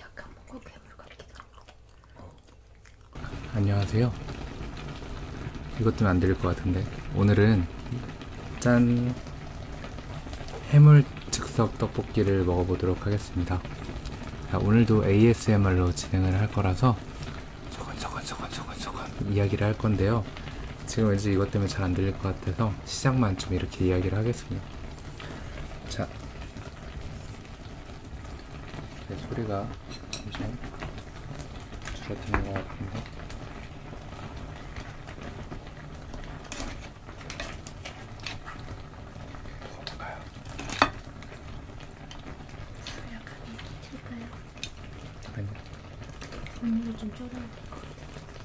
약간 뭔가 괴물 같기도 하고. 안녕하세요. 이것도 안 들릴 것 같은데 오늘은 짠 해물 즉석 떡볶이를 먹어보도록 하겠습니다. 자, 오늘도 ASMR로 진행을 할 거라서 소곤소곤소곤소곤소곤 이야기를 할 건데요. 지금 왠지 이것 때문에 잘 안 들릴 것 같아서 시작만 좀 이렇게 이야기를 하겠습니다. 자, 네, 소리가 잠시만 줄어드는 것 같은데. 먹어볼까요? 약간 이렇게 칠까요? 아니요. 음료 좀 줄여야 될 것 같아요.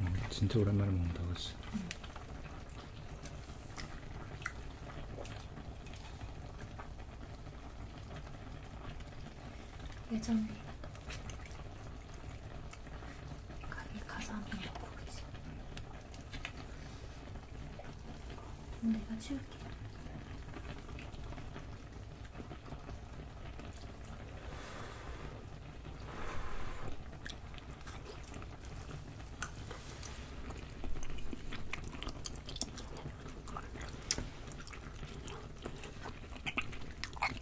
음, 진짜 오랜만에 먹는다, 그치? 응. 예전에 가게 가서 한번 먹고 오지. 내가 치울게.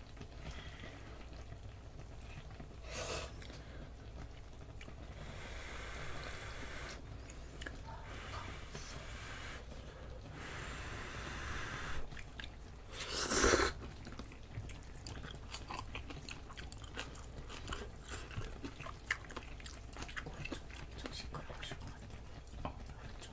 좀 시끄러우실 것 같아요. 어, 좀.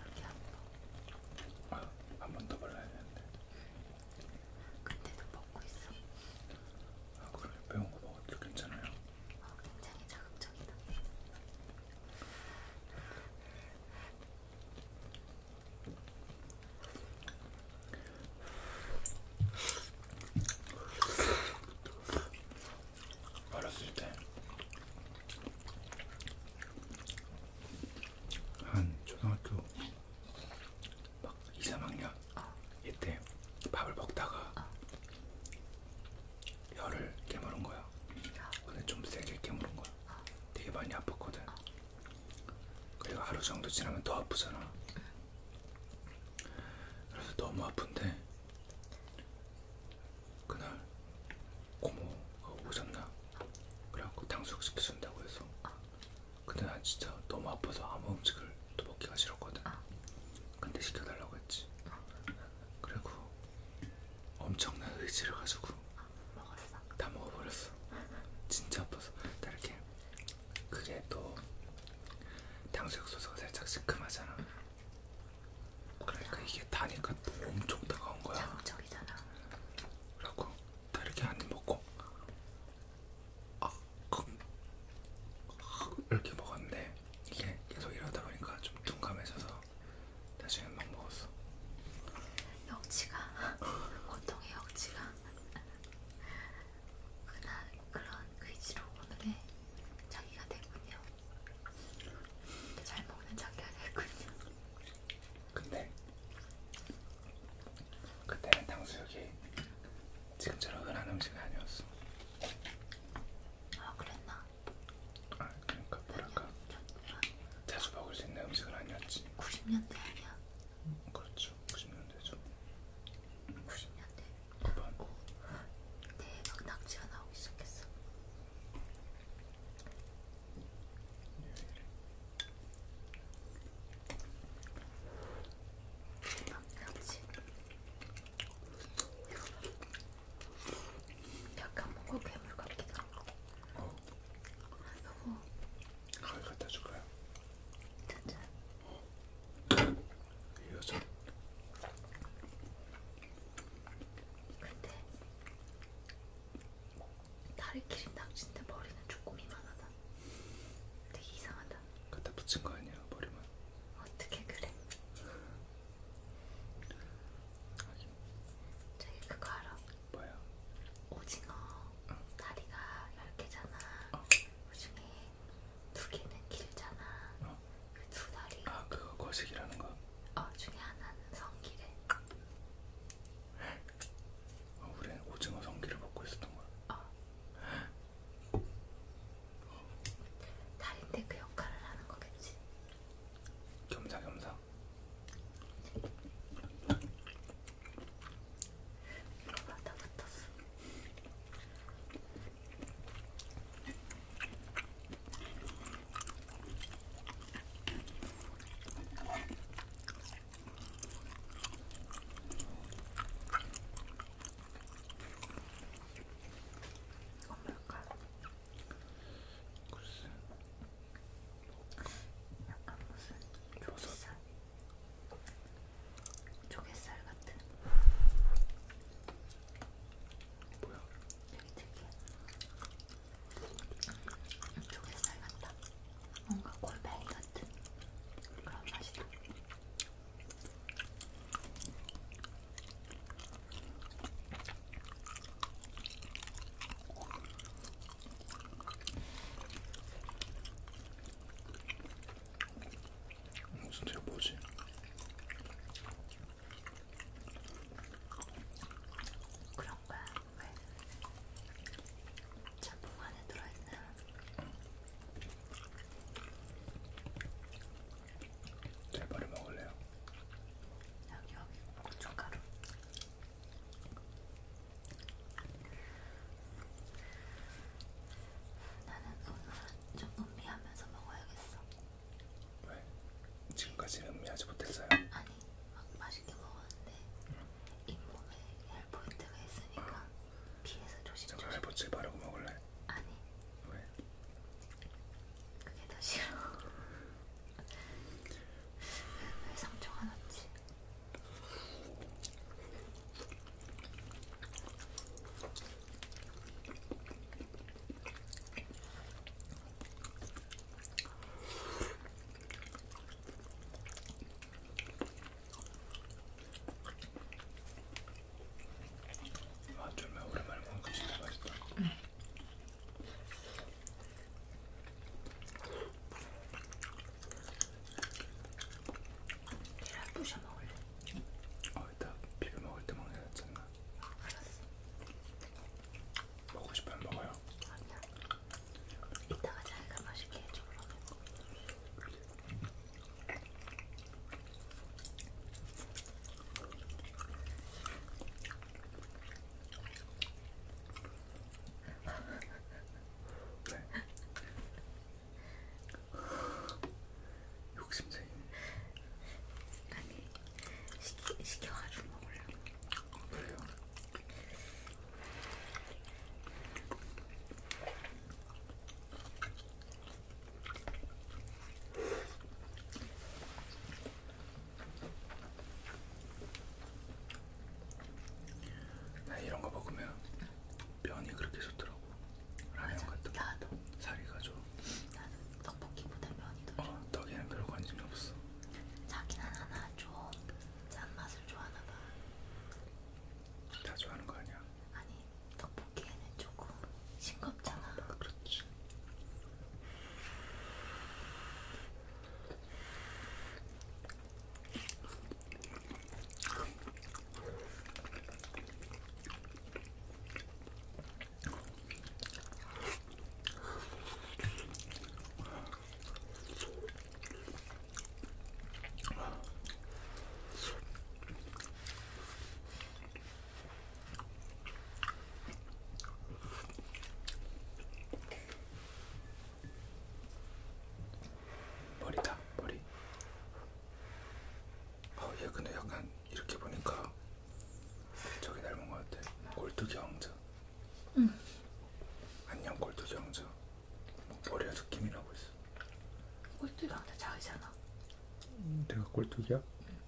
이렇게 아파. 한번 더 발라야 되는데. 근데도 먹고 있어. 아 그래 매운 거 먹어도 괜찮아요. 어, 굉장히 자극적이다. 어렸을 때 한 초등학교 막 2, 3학년 어. 이때 밥을 먹다가 어. 혀를 깨물은 거야. 어. 근데 좀 세게 깨물은 거야. 어. 되게 많이 아팠거든. 어. 그리고 하루 정도 지나면 더 아프잖아. 응. 그래서 너무 아픈데 그날 고모가 오셨나 그래갖고 탕수육 시켜준다고 해서 아. 근데 난 진짜 너무 아파서 아무 음식을 또 먹기가 싫었거든 아. 근데 시켜달라고 했지 아. 그리고 엄청난 의지를 가지고 먹었어. 다 먹어버렸어 진짜 아파서 다 이렇게 그래도 탕수육 소스가 살짝 시큼하잖아. 그러니까 이게 다니까 또 엄청 따가운 거야. 자극적이잖아. 그래갖고 다 이렇게 한 입 먹고 아, 그, 이렇게 먹었는데 이게 계속 이러다 보니까 좀 둔감해져서 나중에는 막 먹었어. 역치가 고통의 역치가 그나, 그런 의지로 오늘의 자기가 됐군요. 잘 먹는 자기가 됐군요. 근데 그때는 탕수육이 지금처럼 흔한 음식이 아니었어. 아 그랬나? 아 그러니까 뭐랄까 자주 먹을 수 있는 음식은 아니었지. 90년대 아니야? 음, 그렇죠. 90년대죠. 90년대. 어, 네, 대박 낙지가 나오기 시작했어. 대박 낙지. 약간 먹고 괴물 같기도 하고. 어. 여보. 가위 갖다 줄까요? 진짜. 어. 여섯 근데 다리 길이 낙진데 머리는 조금이만하다 되게 이상하다 갖다 붙인 거 아니야 머리만 어떻게 그래? 저기 그거 알아? 뭐야? 오징어 다리가 10개잖아 어. 그중에 두 개는 길잖아. 어. 그두 다리. 아 그거 거식이라는 거. 어 중에 하나는 성기래. 어, 우리는 오징어 성기를 먹고 있었던 거야. 어. 다리인데 그 역할을 하는 거겠지. 겸사겸사. 이거 다 붙었어. 이건 뭘까? 글쎄. 약간 무슨 조사 조갯살 같은. 뭐야? 되게 특이해. 조갯살 같다. 뭔가 골뱅이 같은 그런 맛이다. 무슨 제가 뭐지? 그런 거야. 왜? 짬뽕 안에 들어있는. 제발을 먹을래요. 여기 여기 고춧가루. 나는 오늘은 좀 음미하면서 먹어야겠어. 왜? 지금까지 음미하지 못했어요? 아니, 막 맛있게 먹었는데 응. 잇몸에 헬포인트가 있으니까 아. 피해서 조심조심. 잠깐 헬포츠 바르고 먹을래? 아니. 왜? 그게 더 싫어. 왜, 왜 상처가 났지? 아, 정말 오랜만에 먹으니까 그 진짜 맛있다. 응. 계란 부셔 먹을래? 아, 아, 이따 비벼 먹을 때 먹는 거였잖아. 알았어. 먹고 싶으면 먹어요. 아니야. 이따가 자기가 맛있게 해줘 그러면. 네. 욕심쟁이. 아니 시키 시켜가지고 먹으려고. 그래요. 나 이런 거 먹으면 면이 그렇게 좋더라고. 라면 맞아, 같은 거 나도. 살이 가져 나도 떡볶이보다 면이 더 좋아 어, 떡에는 별로 관심이 없어 자기는 하나 좀 짠맛을 좋아하나봐 다 좋아하는 거 아니야? 아니 떡볶이에는 조금 싱겁잖아 아, 그렇지 머리다 머리 어얘 근데 약간 이렇게 보니까 저기 닮은 것 같아 골뚜기 왕자 응 안녕 골뚜기 왕자 뭐 머리가 느낌이라고 있어 골뚜기 왕자 작이잖아 음, 내가 골뚜기야? 응.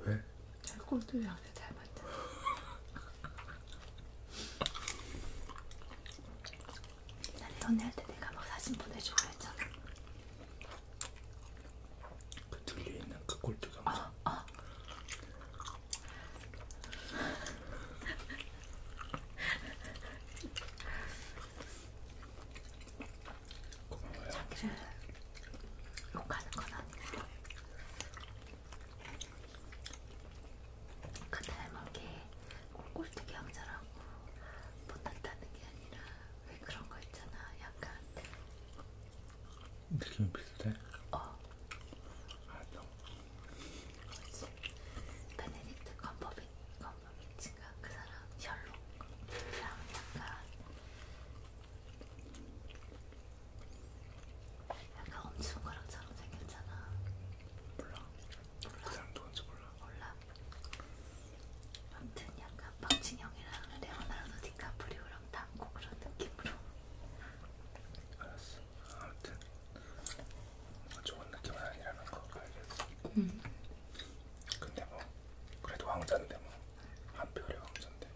왜? 잘 골뚜기 왕자 잘 맞잖아 난 연애할 때 내가 막 뭐 사진 보내주고 했잖아 그 들려 있는 그 꼴뚜기 아, 아. 고마워요. 자기를 욕하는 건 아니고 그 닮은 게 꼴뚜기 왕자라고 못났다는 게 아니라 그런 거 있잖아. 약간 느낌이 비슷해? 어. 알았어. 아, 뭐지? 베네딕트 컴버비, 컴버비치인가? 그 사람 셜록. 그 사람 약간 약간 엄청 거랑처럼 생겼잖아. 몰라. 몰라. 그 사람 누군지 몰라. 몰라. 아무튼 약간 박진영이랑 레오나르도 디카프리오랑 닮고 그런 느낌으로 알았어 아무튼 뭐 좋은 느낌은 아니라는 거 알겠어 음. 근데 뭐 그래도 왕자인데 뭐한 별의 왕자인데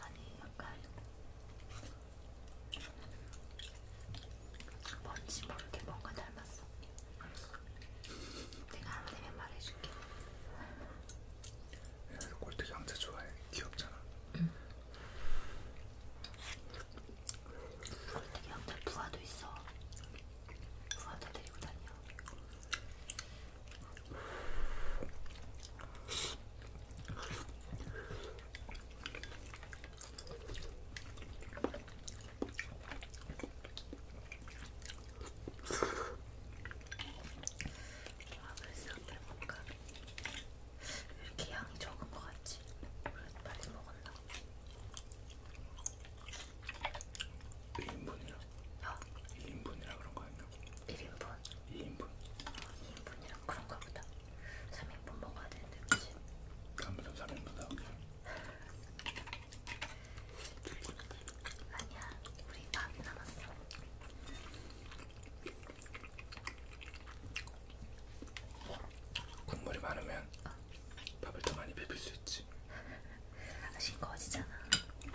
아니 약간 뭔지 모르게 뭔가 닮았어 내가 안 되면 말해줄게. 야, 너 꼴뚜기 왕자 좋아해. 귀엽잖아. 응. 꼴뚜기 왕자 부하도 있어. 부하도 데리고 다녀. 아 글쎄 어때 뭔가 이렇게 양이 적은 것 같지? 그래도 빨리 먹었나? 어? 인분이라 어? 2인분이라 그런 거 아니야? 1인분? 2인분 2인분이랑 아, 그런가 보다 3인분 먹어야 되는데 그치? 다음부터 3인분 나오게 아니야, 우리 밥이 남았어. 국물이 많으면 어. 밥을 더 많이 비빌 수 있지. 아, 싱거워지잖아.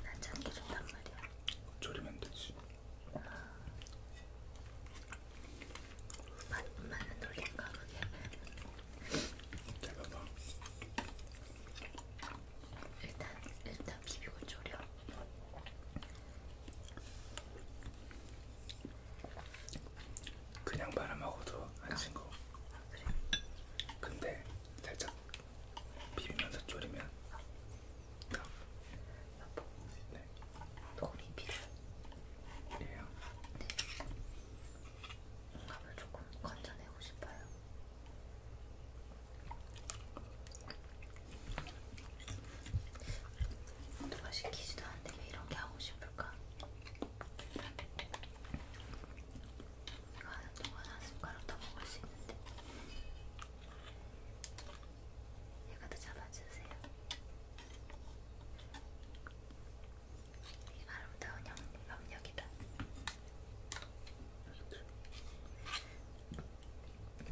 난 짜는 게 좋단 말이야. 졸이면 되지. 어. 아, 맞, 맞는 논리인가 그게? 잘 봐봐. 일단 일단 비비고 졸여. 그냥 바람하고도 안 친거. 아. 아, 그래. 근데 살짝 비비면서 졸이면. 딱. 여보. 네. 도움이 필요해요. 네. 감을 조금 건져내고 싶어요. 누가 시키지도 않는데 왜 이런 게 하고 싶을까? 이거 하는 동안 한 숟가락 더 먹을 수 있는데 얘가 더 잡아주세요. 아름다운 염력이다.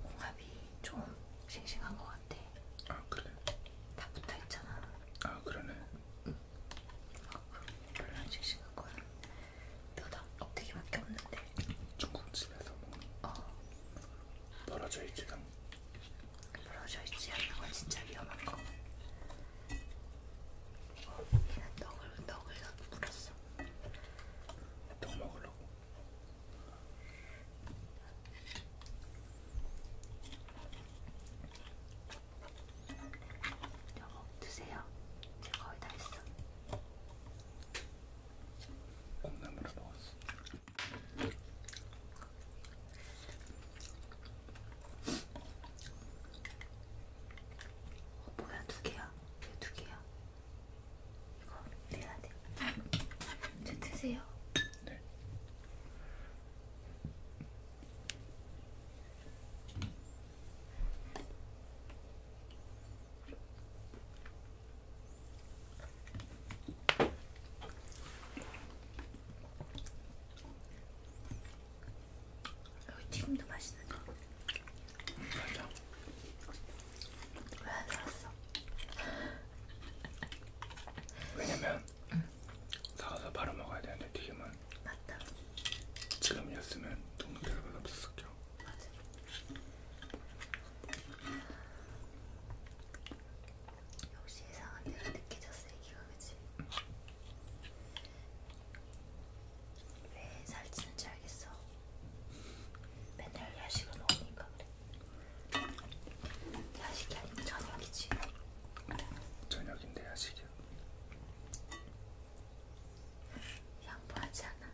공합이 좀 싱싱한 것 같아. 아 그래? 다 붙어 있잖아. 아 그러네. 응. 아, 별로 싱싱한 거야. 뼈다 껍데기밖에 없는데. 중국집에서 먹는. 뭐 어. 벌어져 있지 않. 벌어져 있지 않는 건 진짜 위험한 거. 얘는 떡을 떡을 물었어. 떡 먹으려고. 여보 드세요. 제가 거의 다 했어. 콩나물을 먹었어. 어, 뭐야 두 개야? 왜두 개야? 이거 내야 돼. 저 드세요. 네. 여기 튀김도 맛있는데 맞아 왜안 살았어? 왜냐면 응. 사서 바로 먹어야 되는데 튀김은 맞다 지금이었으면 너무 별건 없었을게요 맞아 역시 예상한 대로 느껴졌어 이기가 그치? 응. 왜 살찌는지 알겠어. 맨날 야식을 먹으니까 그래. 야식이 아니고 저녁이지. 저녁인데 야식이야. 양보하지 않아.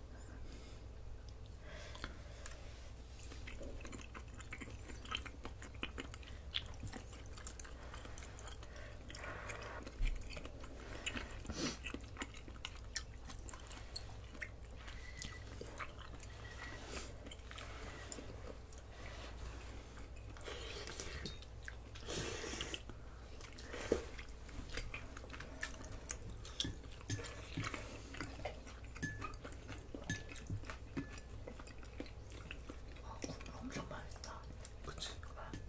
아, 엄청 맛있다. 그치? 응. 네.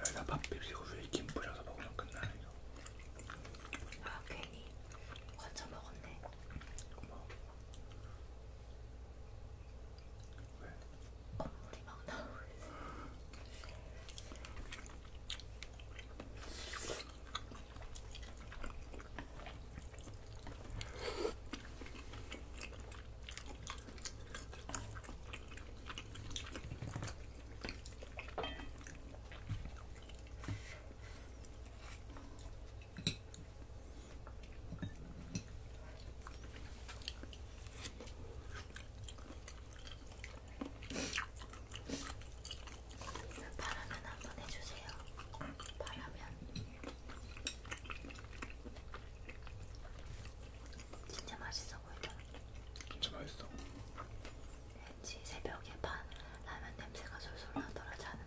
여기다 밥 비비고 위에 김 뿌려서 먹으면 끝나네 이거. 아 괜히 건져 먹었네. 고마워. 왜? 건물이 막 나오고 있어. 바라면 한번 해주세요. 바라면. 진짜 맛있어 보이죠? 진짜 맛있어. 왠지 새벽에 반 라면 냄새가 솔솔 나더라 자는데.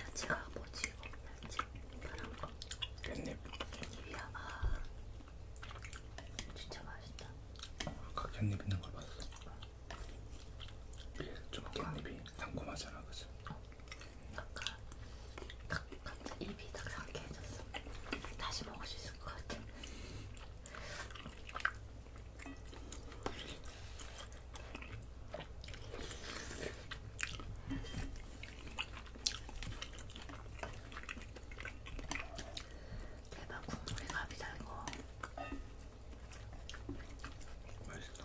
야채가 뭐지? 야채 파란 거. 깻잎. 깻잎이야. 아, 진짜 맛있다. 아까 깻잎 있는 걸 봤어. 이게 좀 깻잎이 달콤하잖아, 그치? 어. 아까 딱, 딱 입이 딱 상쾌해졌어. 다시 먹을 수 있을 것 같아. 대박 국물이 갑이다 이거. 맛있어.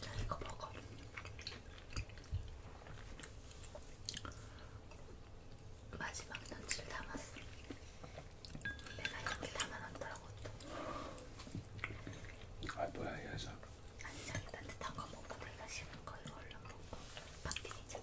자, 이거 먹어. 마지막 런치를 담았어. 내가 이렇게 담아놨더라고. 아 뭐야 이 녀석. 아니 자기 따뜻한 거 먹고 내가 싫은 거 이걸로 먹고 박빙이잖아.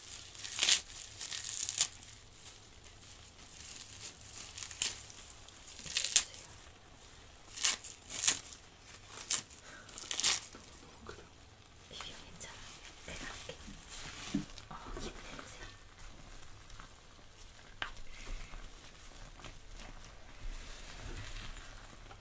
너무 크다. 비벼 괜찮아. 내가 네, 할게. 어, 힘내보세요.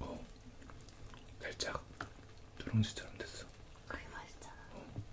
어, 살짝 누룽지처럼 됐어. 그게 맛있잖아. 어.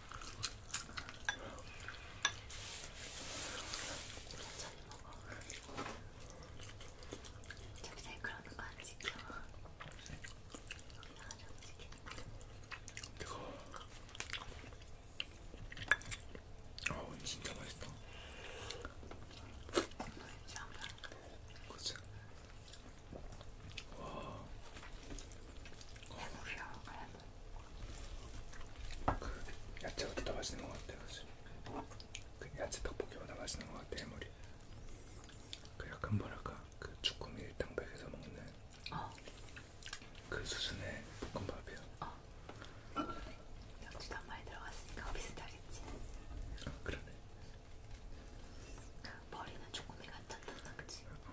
천천히 먹어. 잠시 그러는 거안 지켜. 나가지 지켜. 뜨거워. 아우 진짜 맛있다. 그치? 와. 해물이야, 해물. 그 야채가 더 맛있는 것 같아요 사실 그 야채 떡볶이보다 맛있는 것 같아요 해물이 그 약간 뭐랄까 그 주꾸미 일당백에서 먹는 어. 그 수준의 볶음밥이요 어. 역시도 한 마리 들어갔으니까 비슷하겠지 아 그러네 그 머리는 주꾸미 같았던 그치? 어.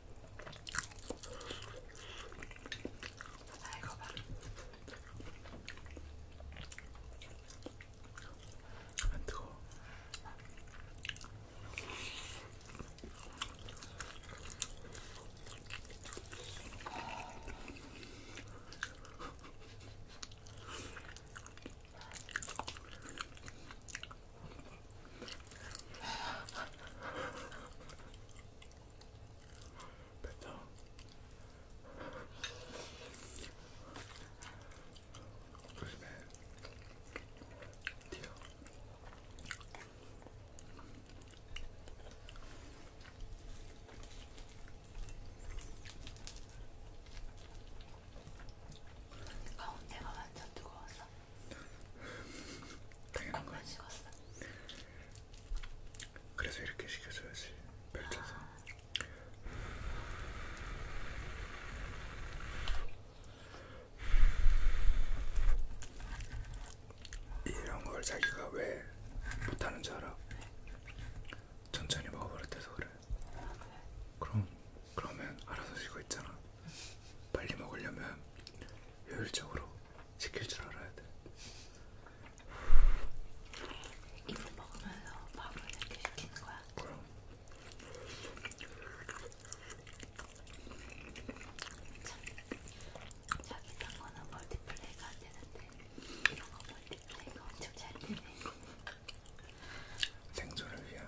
아 이거 봐. 안 뜨거. 뱉어. 조심해. 튀어. 가운데가 완전 뜨거웠어. 당연한 거야. 식었어. 그래서 이렇게 시켜줘야지. 펼쳐서. 이런 걸 자기가 왜 못하는 줄 알아? 천천히 먹어버렸대서 그래. 그럼 그러면 알아서 쉬고 있잖아. 빨리 먹으려면 효율적으로 지킬 줄 알아야 돼. 이거 먹으면서 밥을 이렇게 시키는 거야? 그럼. 참, 자기 딴 거는 멀티플레이가 안 되는데 이런 거 멀티플레이가 엄청 잘 되네. 생존을 위한.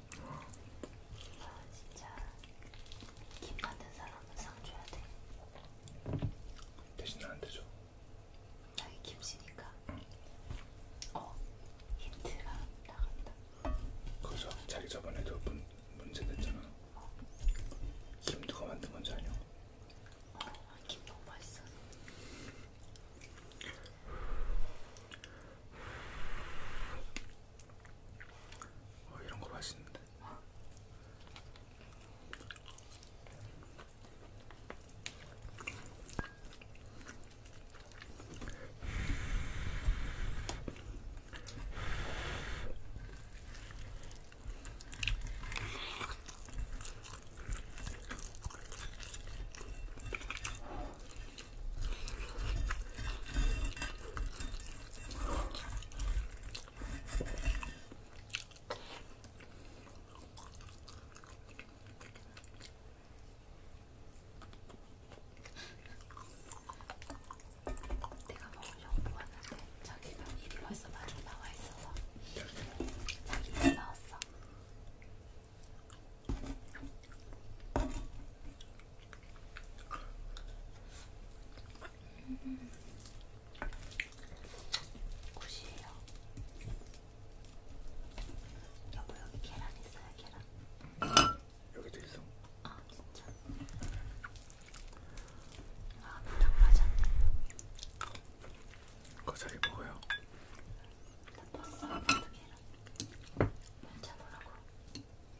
아 진짜 김 같은 사람은 상 줘야 돼. 대신 나한테 줘. 나이 김씨니까. 응. 어 힌트가 나간다. 그래서 자기 저번에도 문, 문제 냈잖아. 어. 김 누가 만든 건지 아냐? 어, 김 너무 맛있어. 어, 이런 거 맛있는데. 내가 먹으려고 보았는데 자기가 입이 벌써 마중 나와 있어서 자기가 나왔어. 굿이에요. 여보 여기 계란 있어요 계란. 여기도 있어. 아 진짜. 아 너랑 맞아. 그거 잘 먹어요. 나 봤어. 계란. 면차 보라고.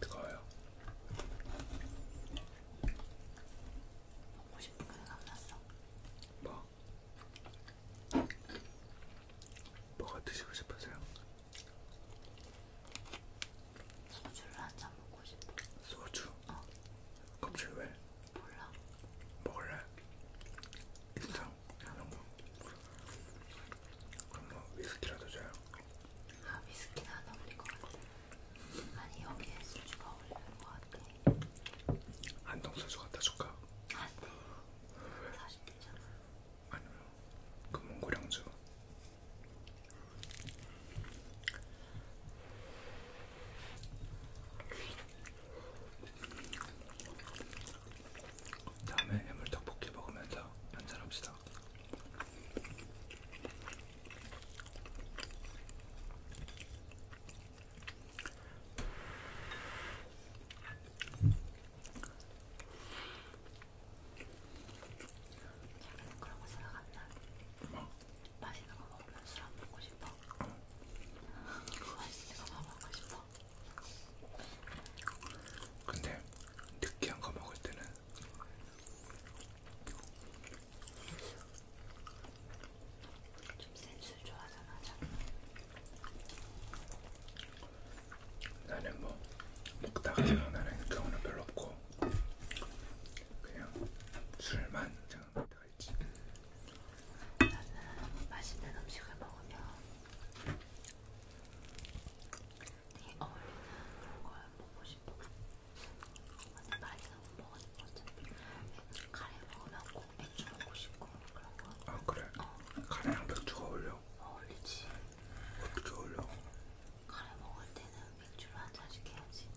뜨거워요. 먹고 싶은 게 생각났어. 뭐? 뭐가 드시고 싶으세요? 소주를 한잔 먹고 싶어. 소주? 어. 갑자기 왜? 몰라. 먹을래? 인상? 이런 거? 그럼 뭐 위스키라도 줘요. 아 위스키는 안 어울릴 것 같아. 아니 여기에 소주가 어울리는 것 같아. 안동 소주 갖다 줄까? 안돼. 사실 되잖아. 아니면 그 몽고량주. 다음에 해물떡볶이 먹으면서 한잔 합시다. 약간 그런 거 생각 안 나? 뭐? 맛있는 거 먹으면 술 안 먹고 싶어? 맛있는 거 먹고 싶어? 근데 느끼한 거 먹을 때는 좀 센 술 좋아하잖아. 나는 뭐 먹다가 생각나는 경우는 별로 없고 그냥 술만 생각날 때가 있지. 나는 맛있는 음식을 먹으면 되게 어울리는 그런 걸 보고 싶어서 근데 많이 너무 먹으니까 어차피 카레 먹으면 꼭 맥주 먹고 싶고 그런 거. 아 그래? 어. 카레랑 맥주가 어울려? 어울리지. 어떻게 어울려? 카레 먹을 때는 맥주를 한 잔씩 해야지.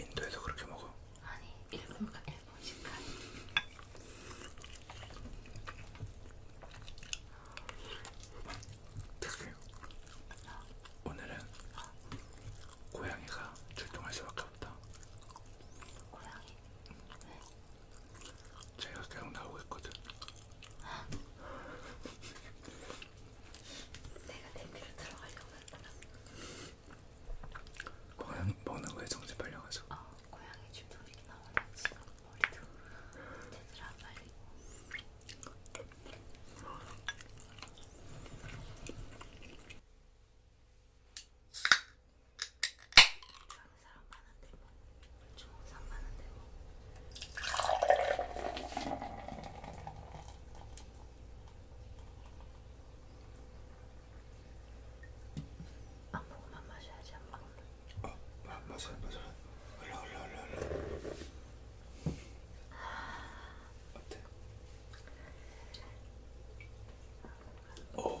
인도에서 그렇게 먹어? 아니 일본가 일본식 카레. 오늘은 고양이가 출동할 수밖에 없다. 고양이? 왜? 음. 제가 계속 나오고 있거든. 내가 냄비로 들어가려고 했잖아. 고양 먹는 거에 정신 팔려가지고. 어, 고양이 출동이 나오는 지금. 머리도 아, 제대로 안 말리고 좋아하는 사람 많은데 뭐 주목상 많은데 뭐안 보고만 마셔야지 안 먹으면 어, 맞아, 맞아. 올라, 올라, 올라, 올라. 어때? 오.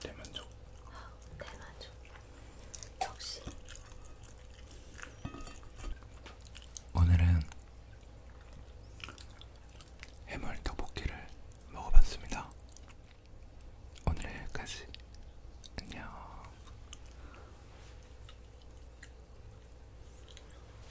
대만족. 대만족. 역시. 오늘은 해물 떡볶이를 먹어봤습니다. 오늘 여기까지. 안녕.